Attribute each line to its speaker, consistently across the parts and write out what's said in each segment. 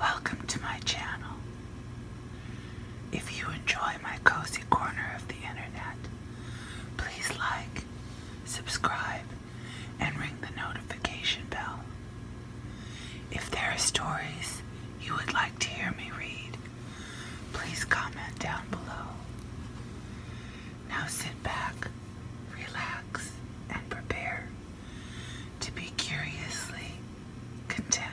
Speaker 1: Welcome to my channel. If you enjoy my cozy corner of the internet, please like, subscribe, and ring the notification bell. If there are stories you would like to hear me read, please comment down below. Now sit back, relax, and prepare to be curiously content.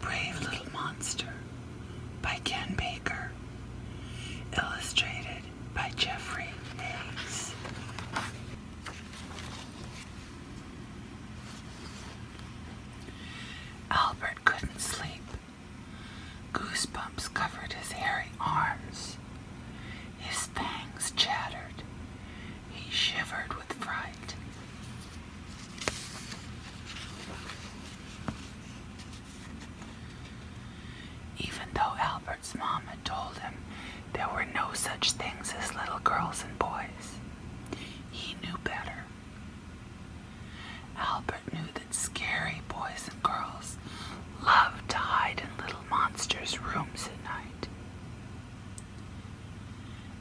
Speaker 1: Brave Little Monster by Ken Baker. Illustrated by Jeffrey Hayes. Albert couldn't sleep. Goosebumps covered his hairy arms. His fangs chattered. He shivered with fright. Even though Albert's mom had told him there were no such things as little girls and boys, he knew better. Albert knew that scary boys and girls love to hide in little monsters' rooms at night.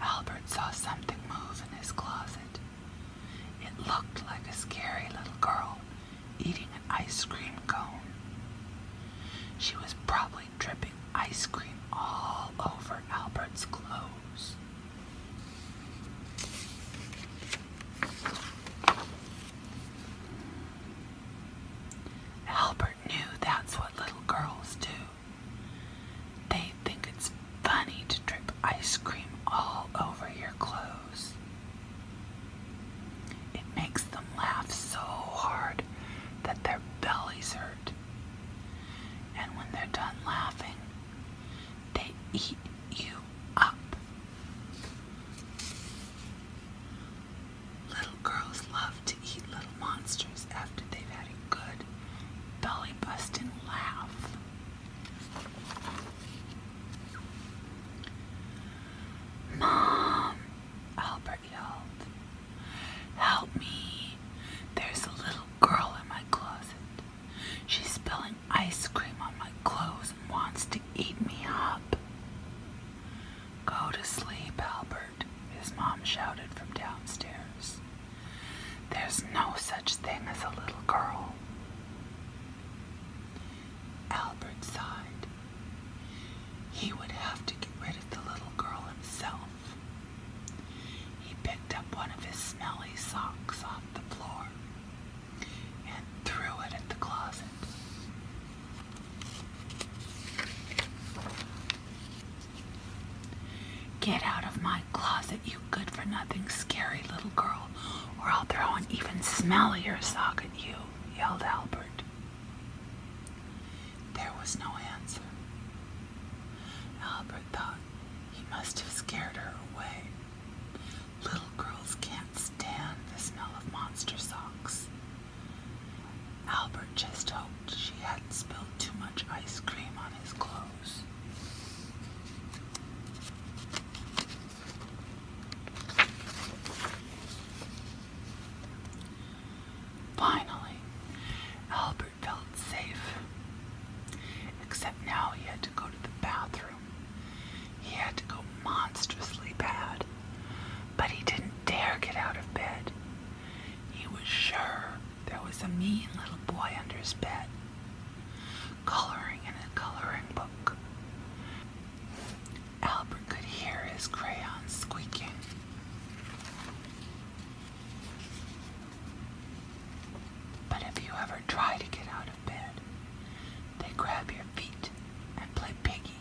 Speaker 1: Albert saw something move in his closet. It looked like a scary little girl eating an ice cream cone. She was probably dripping ice cream all over Albert's clothes. Albert knew that's what little girls do. They think it's funny to drip ice cream all over your clothes. It makes them laugh so hard that their bellies hurt. And when they're done laughing, they eat you up. Little girls love to eat little monsters after they've had a good belly busting laugh. Mom, Albert yelled, help me. There's a little girl in my closet. She's spilling ice cream on my clothes and wants to eat me up. Go to sleep, Albert, his mom shouted from downstairs. There's no such thing as a little girl. Albert sighed. He would have to get rid of the little girl himself. He picked up one of his smelly socks off the floor and threw it at the closet. Get out of my closet, you good for nothing, scary little girl, or I'll throw an even smellier sock at you, yelled Albert. There was no answer. Albert thought he must have scared her away. Little girls can't stand the smell of monster socks. Albert just hoped she hadn't spilled too much ice cream on his clothes. Finally, Albert felt safe. Except now he had to go to the bathroom he had to go monstrously bad, but he didn't dare get out of bed. He was sure there was a mean little boy under his bed, coloring in a coloring book. Albert could hear his crayons squeaking. But if you ever try to get out of bed, they grab your feet and play piggy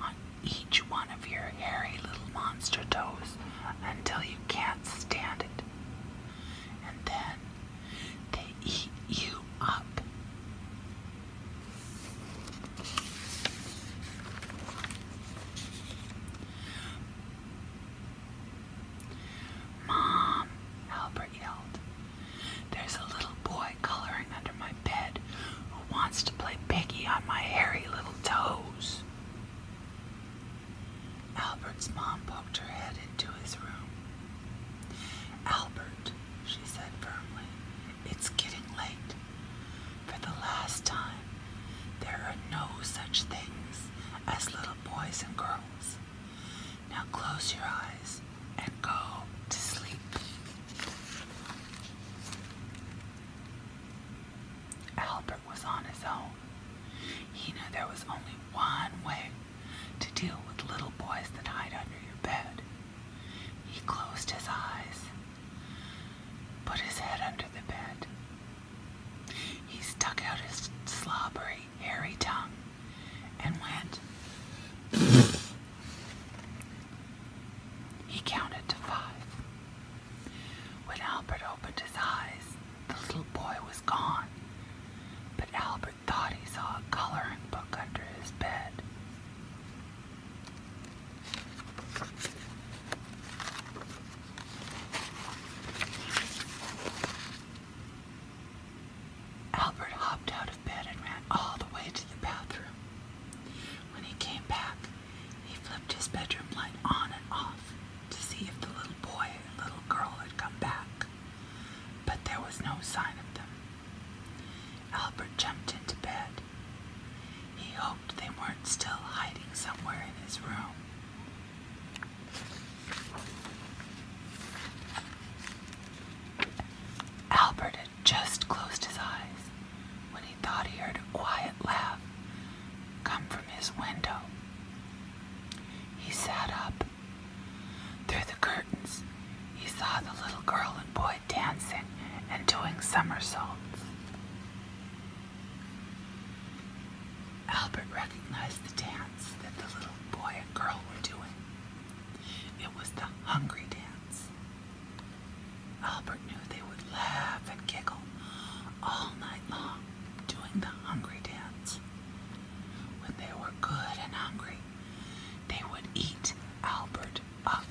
Speaker 1: on each one of your hairy little monster toes until you can't stand it. And then they eat you up. Mom, Albert yelled. There's a little boy coloring under my bed who wants to play piggy on my hairy little toes. Albert's mom poked her head into his room. Albert, she said firmly, it's getting late. For the last time, there are no such things as little boys and girls. Now close your eyes and go to sleep. Albert was on his own. He knew there was only one way to deal with little boys that hide under your bed. He closed his eyes, put his head under the bed. He stuck out his slobbery, hairy tongue and went. He counted to five. When Albert opened his eyes, the little boy was gone, but Albert thought he saw a coloring book under his bed. Albert hopped out bed and ran all the way to the bathroom. When he came back, he flipped his bedroom light on and off to see if the little boy and little girl had come back, but there was no sign of them. Albert jumped into bed. He hoped they weren't still hiding somewhere in his room. Albert had just closed his eyes when he thought he heard a quiet laugh come from his window. He sat up. Through the curtains, he saw the little girl and boy dancing and doing somersaults. Albert recognized the dance that the little boy and girl were doing. It was the hungry dance. Albert knew they would laugh and giggle all night long doing the hungry dance. When they were good and hungry, they would eat Albert up.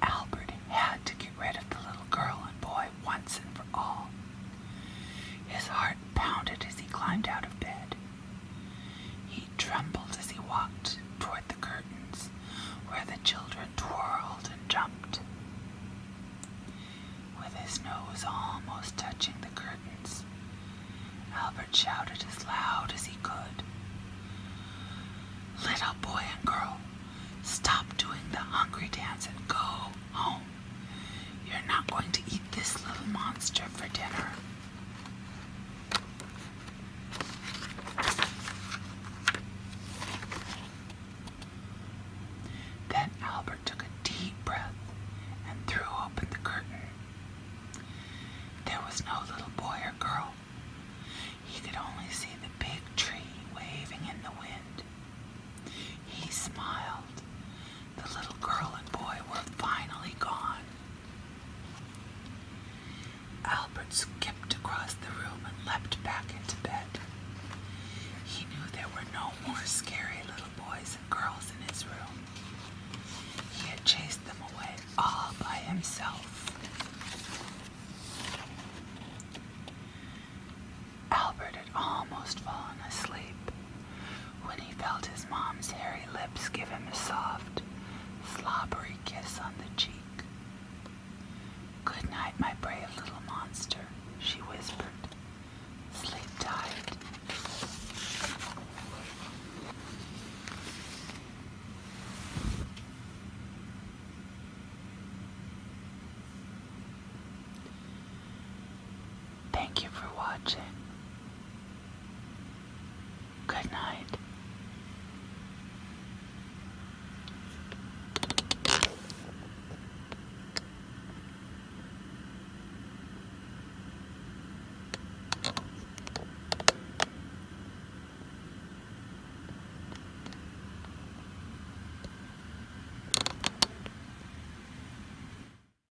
Speaker 1: Albert had to get rid of the little girl and boy once and for all. His heart pounded as he climbed out of bed. He trembled as he walked toward the curtains where the children twirled and jumped. With his nose almost touching the curtains, Albert shouted as loud as he could. Little boy and girl, stop doing the hungry dance and go home. You're not going to eat this little monster for dinner. Then Albert took a deep breath and threw open the curtain. There was no little boy or girl. He could only see the big tree waving in the wind. He smiled the little girl and boy were finally gone. Albert skipped across the room and leapt back into bed. He knew there were no more scary little boys and girls in his room. He had chased them away all by himself. Albert had almost fallen asleep when he felt his mom's hairy lips give him a soft, slobbery kiss on the cheek. Good night, my brave little monster, she whispered. Sleep tight. Thank you for watching. Good night.